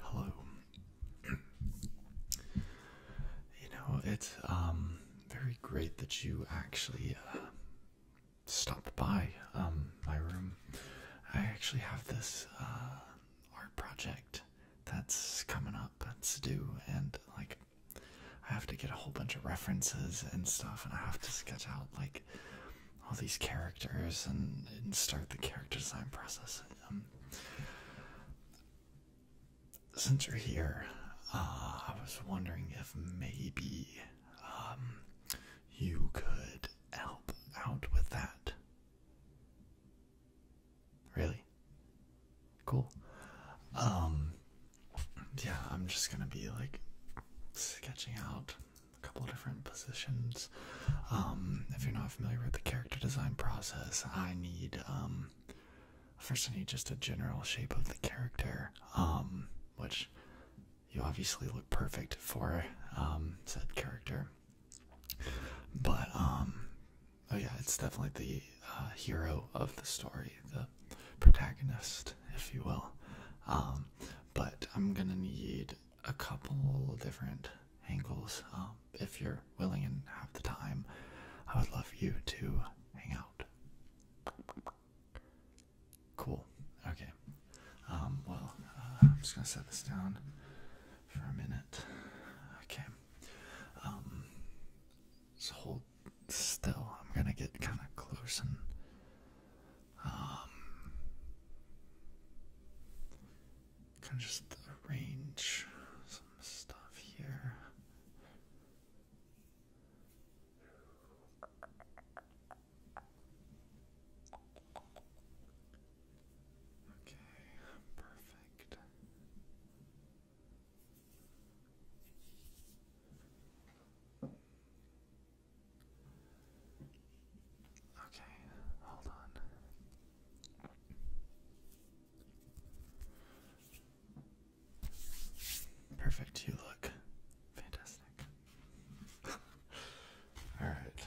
Hello. you know, it's um, very great that you actually uh, stopped by um, my room. I actually have this uh, art project that's coming up puppets do, and like I have to get a whole bunch of references and stuff, and I have to sketch out like all these characters and, start the character design process. Um, since you're here, uh, I was wondering if maybe um, you could help out with that. Really? Cool. Um yeah, I'm just gonna be like sketching out a couple different positions. Um if you're not familiar with the character design process, I need um first I need just a general shape of the character. Um which you obviously look perfect for um said character. But um, oh yeah, it's definitely the uh, hero of the story, the protagonist, if you will. Um, but I'm gonna need a couple different angles. Um, if you're willing and have the time, I would love you to hang out. Cool. Okay. Um, well, uh, I'm just gonna set this down for a minute. Okay. Um so hold still. I'm gonna get kinda close and um, kinda just arrange some stuff here. Okay, perfect. Okay, hold on. Perfect, you look fantastic. All right.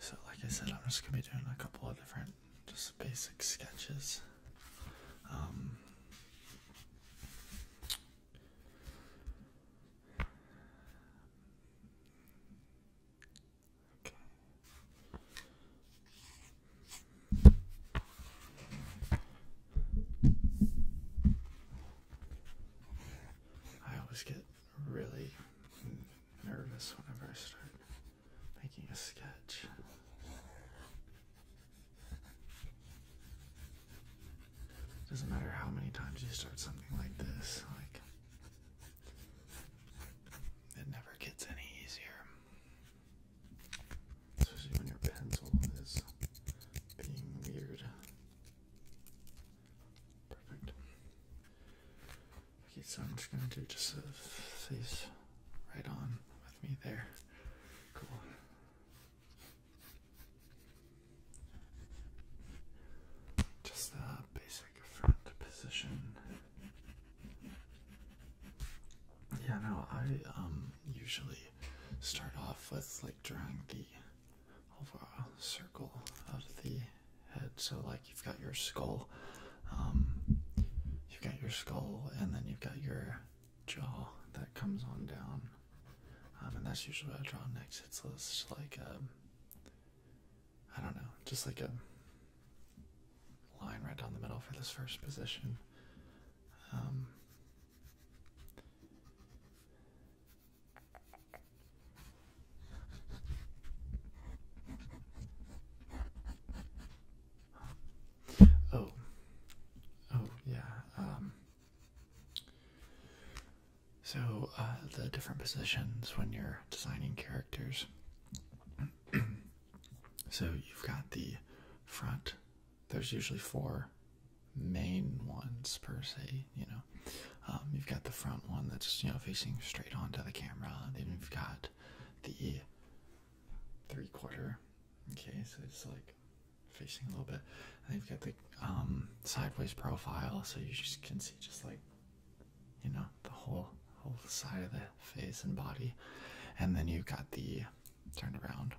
So, like I said, I'm just gonna be doing a couple of different, just basic sketches. Um, okay. I always get really nervous whenever I start making a sketch. Doesn't matter how many times you start something like this, like it never gets any easier. Especially when your pencil is being weird. Perfect. Okay, so I'm just gonna do just a these right on with me there. Cool. Just a basic front position. Yeah, no, I um usually start off with like drawing the over circle of the head. So like you've got your skull, um, you've got your skull, and then you've got your jaw that comes on down. Um, and that's usually what I draw next. It's just like a, um, I don't know, just like a line right down the middle for this first position. Oh, oh yeah. Um. so uh, the different positions when you're designing characters. so you've got the front. There's usually four main ones per se, you know. Um, you've got the front one that's you know facing straight onto the camera. Then you've got the three quarter. Okay, so it's like facing a little bit. And you've got the um, sideways profile, so you just can see just like you know the whole whole side of the face and body. And then you've got the turned around.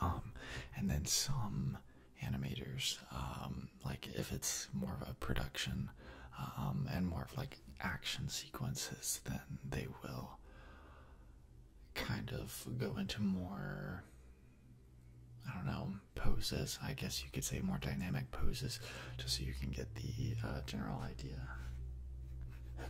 Um, and then some animators um, like if it's more of a production um, and more of like action sequences then they will kind of go into more i don't know poses i guess you could say more dynamic poses just so you can get the uh, general idea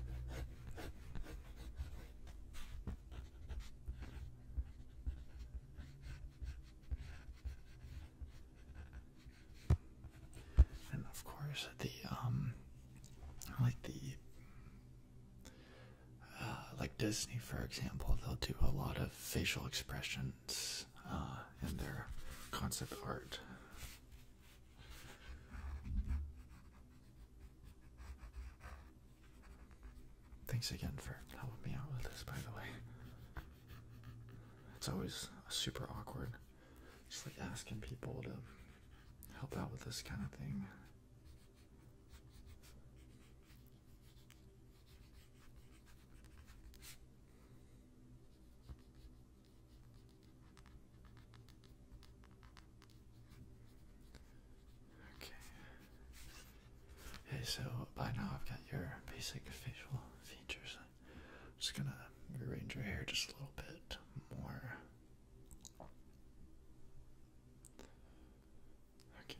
And of course, the um, like the uh, like Disney, for example, they'll do a lot of facial expressions uh, in their concept art. Thanks again for helping me out with this, by the way. It's always super awkward, just like asking people to help out with this kind of thing. Okay. Okay, so by now I've got your basic facial features. just gonna rearrange your hair just a little bit more. Okay.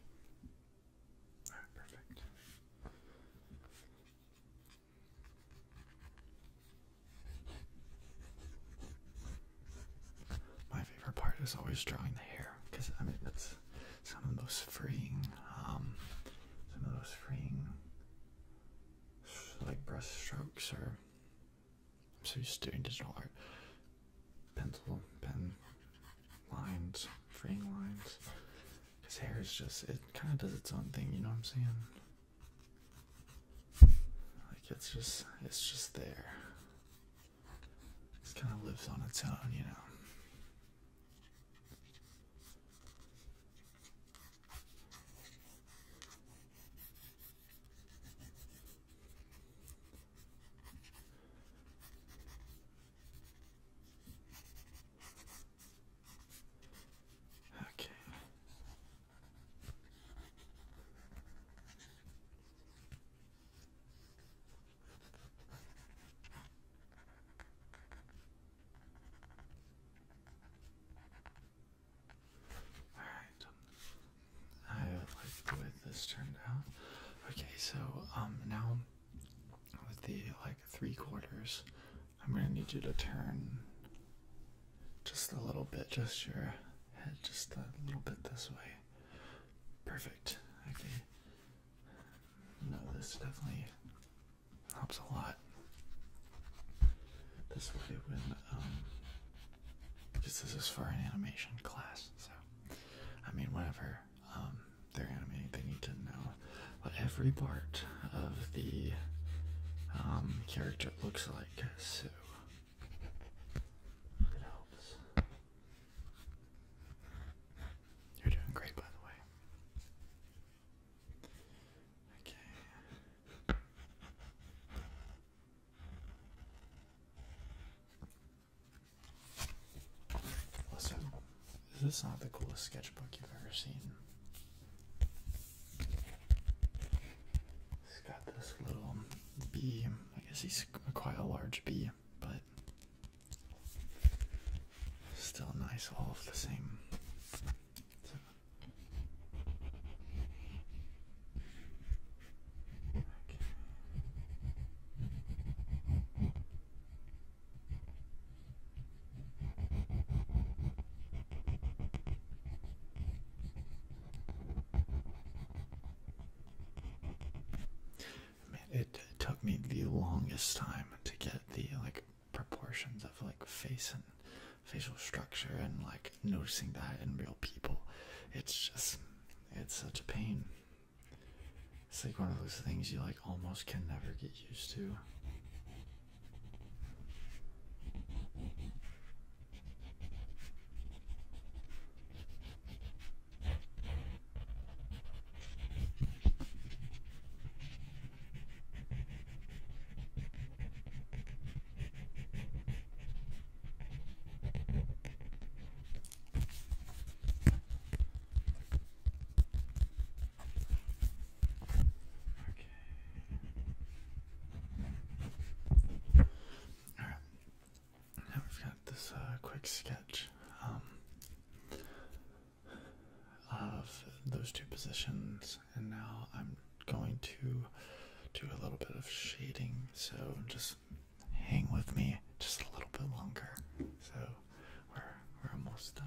Alright, perfect. My favorite part is always drawing the hair because I mean that's some of those most freeing, um, some of the freeing like brush strokes or I'm so used doing digital art, pencil, pen, lines, freeing lines. Because hair is just it kind of does its own thing, you know what I'm saying? Like it's just it's just there. Just kind of lives on its own, you know. Okay. Alright. Um, I like the way this turned out. Okay, so um now with the like three quarters, I'm gonna need you to turn just a little bit, just your head just a little bit this way. Perfect. Okay. No, this definitely helps a lot. This way, when just um, this is for an animation class, so I mean, whatever um, they're animating, they need to know what every part of the um, character looks like. So it helps. You're doing great, by the way. Okay. Listen, is this not the coolest sketchbook you've ever seen? he has got this little bee. I guess he's quite a large bee but still nice, all of the same. Man, it took me the longest time to get the like proportions of like face and facial structure and like noticing that in real people. It's just it's such a pain. It's like one of those things you like almost can never get used to. Okay. Alright. Now we've got this uh, quick sketch um, of those two positions, and now I'm going to do a little bit of shading, so just hang with me just a little bit longer. So we're, we're almost done.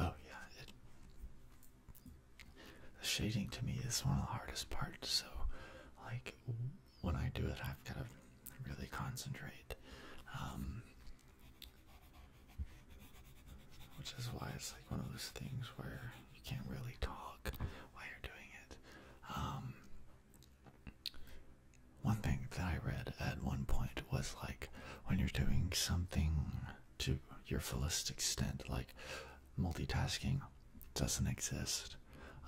Oh yeah, it, the shading to me is one of the hardest parts. So, like when I do it, I've got to really concentrate, um, which is why it's like one of those things where you can't really talk while you're doing it. Um, one thing that I read at one point was like when you're doing something to your fullest extent, like multitasking doesn't exist.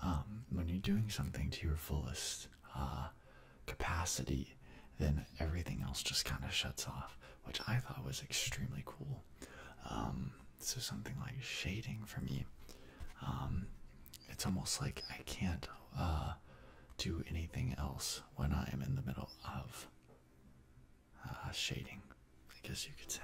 Um, when you're doing something to your fullest uh, capacity, then everything else just kind of shuts off, which I thought was extremely cool. Um, so something like shading for me, um, it's almost like I can't uh, do anything else when I am in the middle of uh, shading, I guess you could say.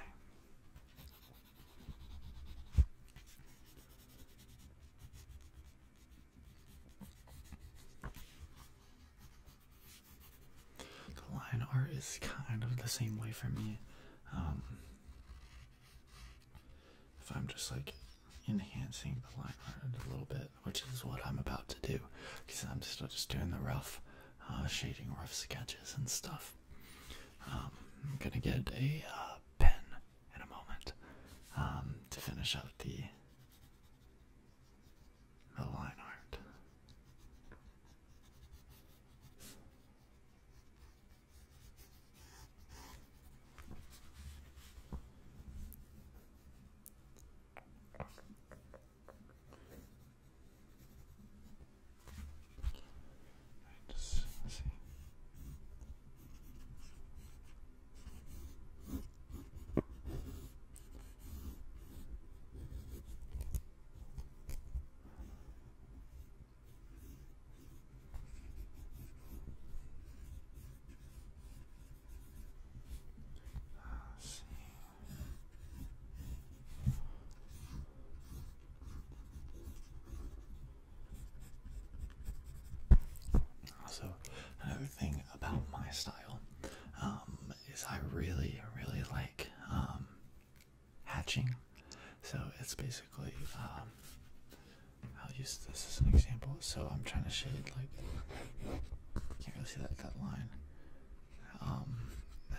The line art is kind of the same way for me. Um, if I'm just like enhancing the line art a little bit, which is what I'm about to do, because I'm still just doing the rough uh, shading, rough sketches and stuff. Um, I'm gonna get a uh, pen in a moment um, to finish out the the line art. Just see let another thing about my style um, is I really, really like um, hatching. So it's basically um, I'll use this as an example. So I'm trying to shade like can't really see that that line. Um,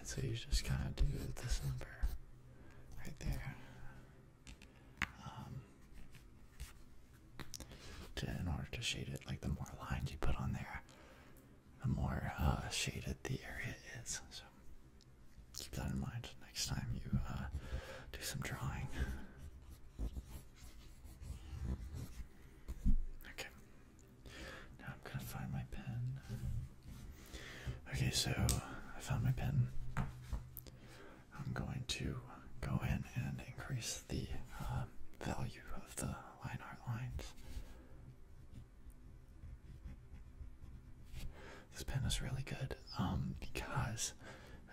so you just kind of do this number right there. Um, to, in order to shade it, like the more lines you put on there, the more uh, shaded the area is. So keep that in mind next time you uh, do some drawing. Okay. Now I'm gonna find my pen. Okay, so I found my pen. I'm going to go in and increase the uh, value of the line art lines. This pen is really good um, because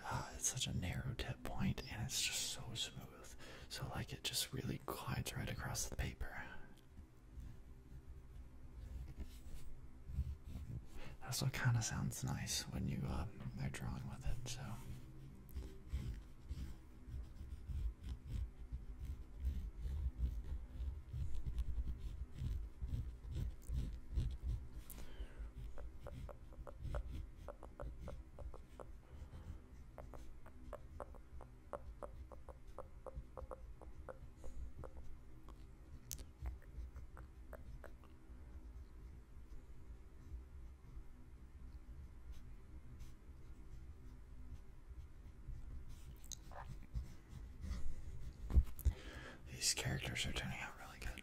Ah, it's such a narrow tip point and it's just so smooth. So, like, it just really glides right across the paper. That's what kind of sounds nice when you um, are drawing with it, so. These characters are turning out really good.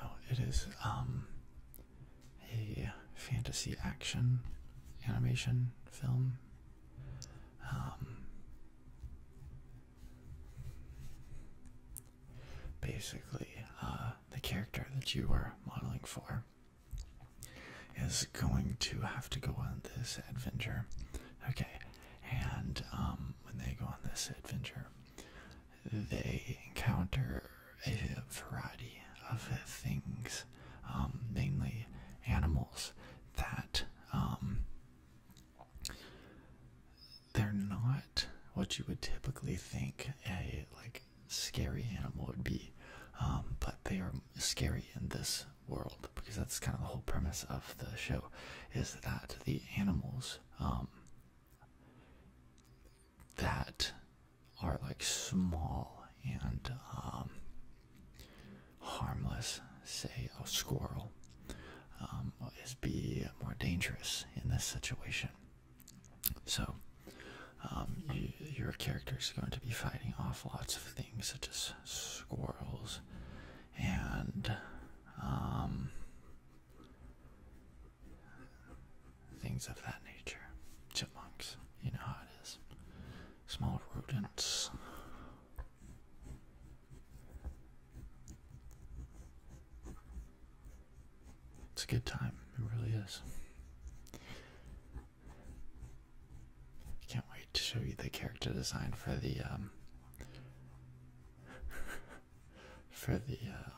Oh, it is um a fantasy action animation film. Um, basically, uh, the character that you were modeling for is going to have to go on this adventure. Okay, and um, when they go on this adventure, they encounter a variety of things, um, mainly animals that um, they're not what you would typically think a like scary animal would be, um, but they are scary in this world because that's kind of the whole premise of the show, is that the animals that are like small and um, harmless, say a squirrel, um, is be more dangerous in this situation. So um, your character is going to be fighting off lots of things such as squirrels and um, things of that nature. Chipmunks, you know how it is. Small rodents. It's a good time, it really is. I can't wait to show you the character design for the um, for the uh,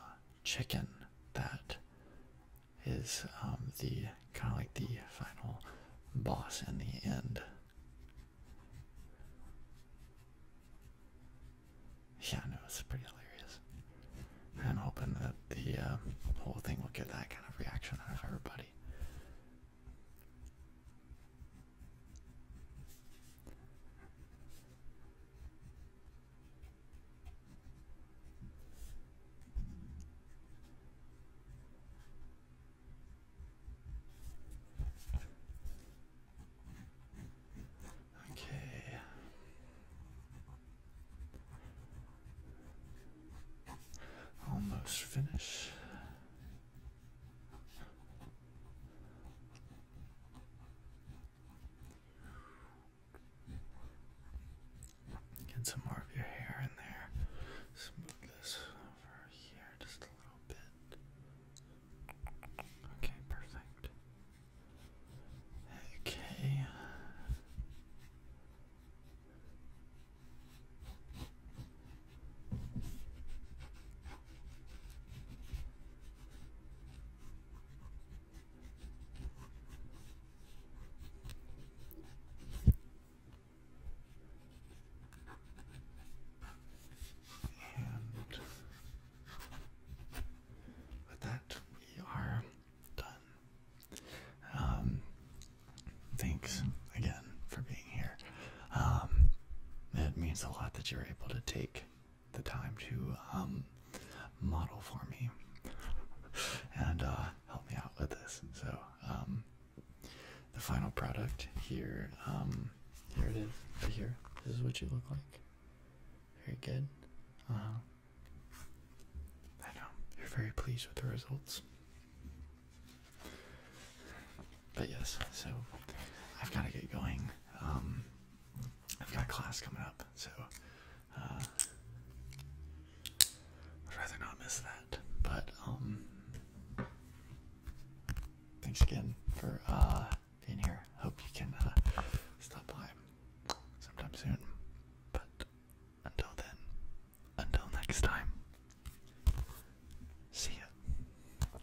chicken that is um, the kind of like the final boss in the end. Yeah, I know it's pretty hilarious. I'm hoping that the uh, whole thing will get that kind of reaction out of everybody. Okay. Almost finished. Get some more of your hair in there. Smooth this over here just a little bit. Okay, perfect. Okay. And with that, we are done. Um, thanks again for being here. Um, it means a lot that you're able to take the time to um, model for me and uh, help me out with this. So um, the final product here, um, here it is, here. This is what you look like. Very good. Uh-huh. I know you're very pleased with the results. But yes, so I've got to get going. I've got class coming up, so uh, I'd rather not miss that. But um, thanks again for uh, being here. Hope you can uh, stop by sometime soon. But until then, until next time, see ya.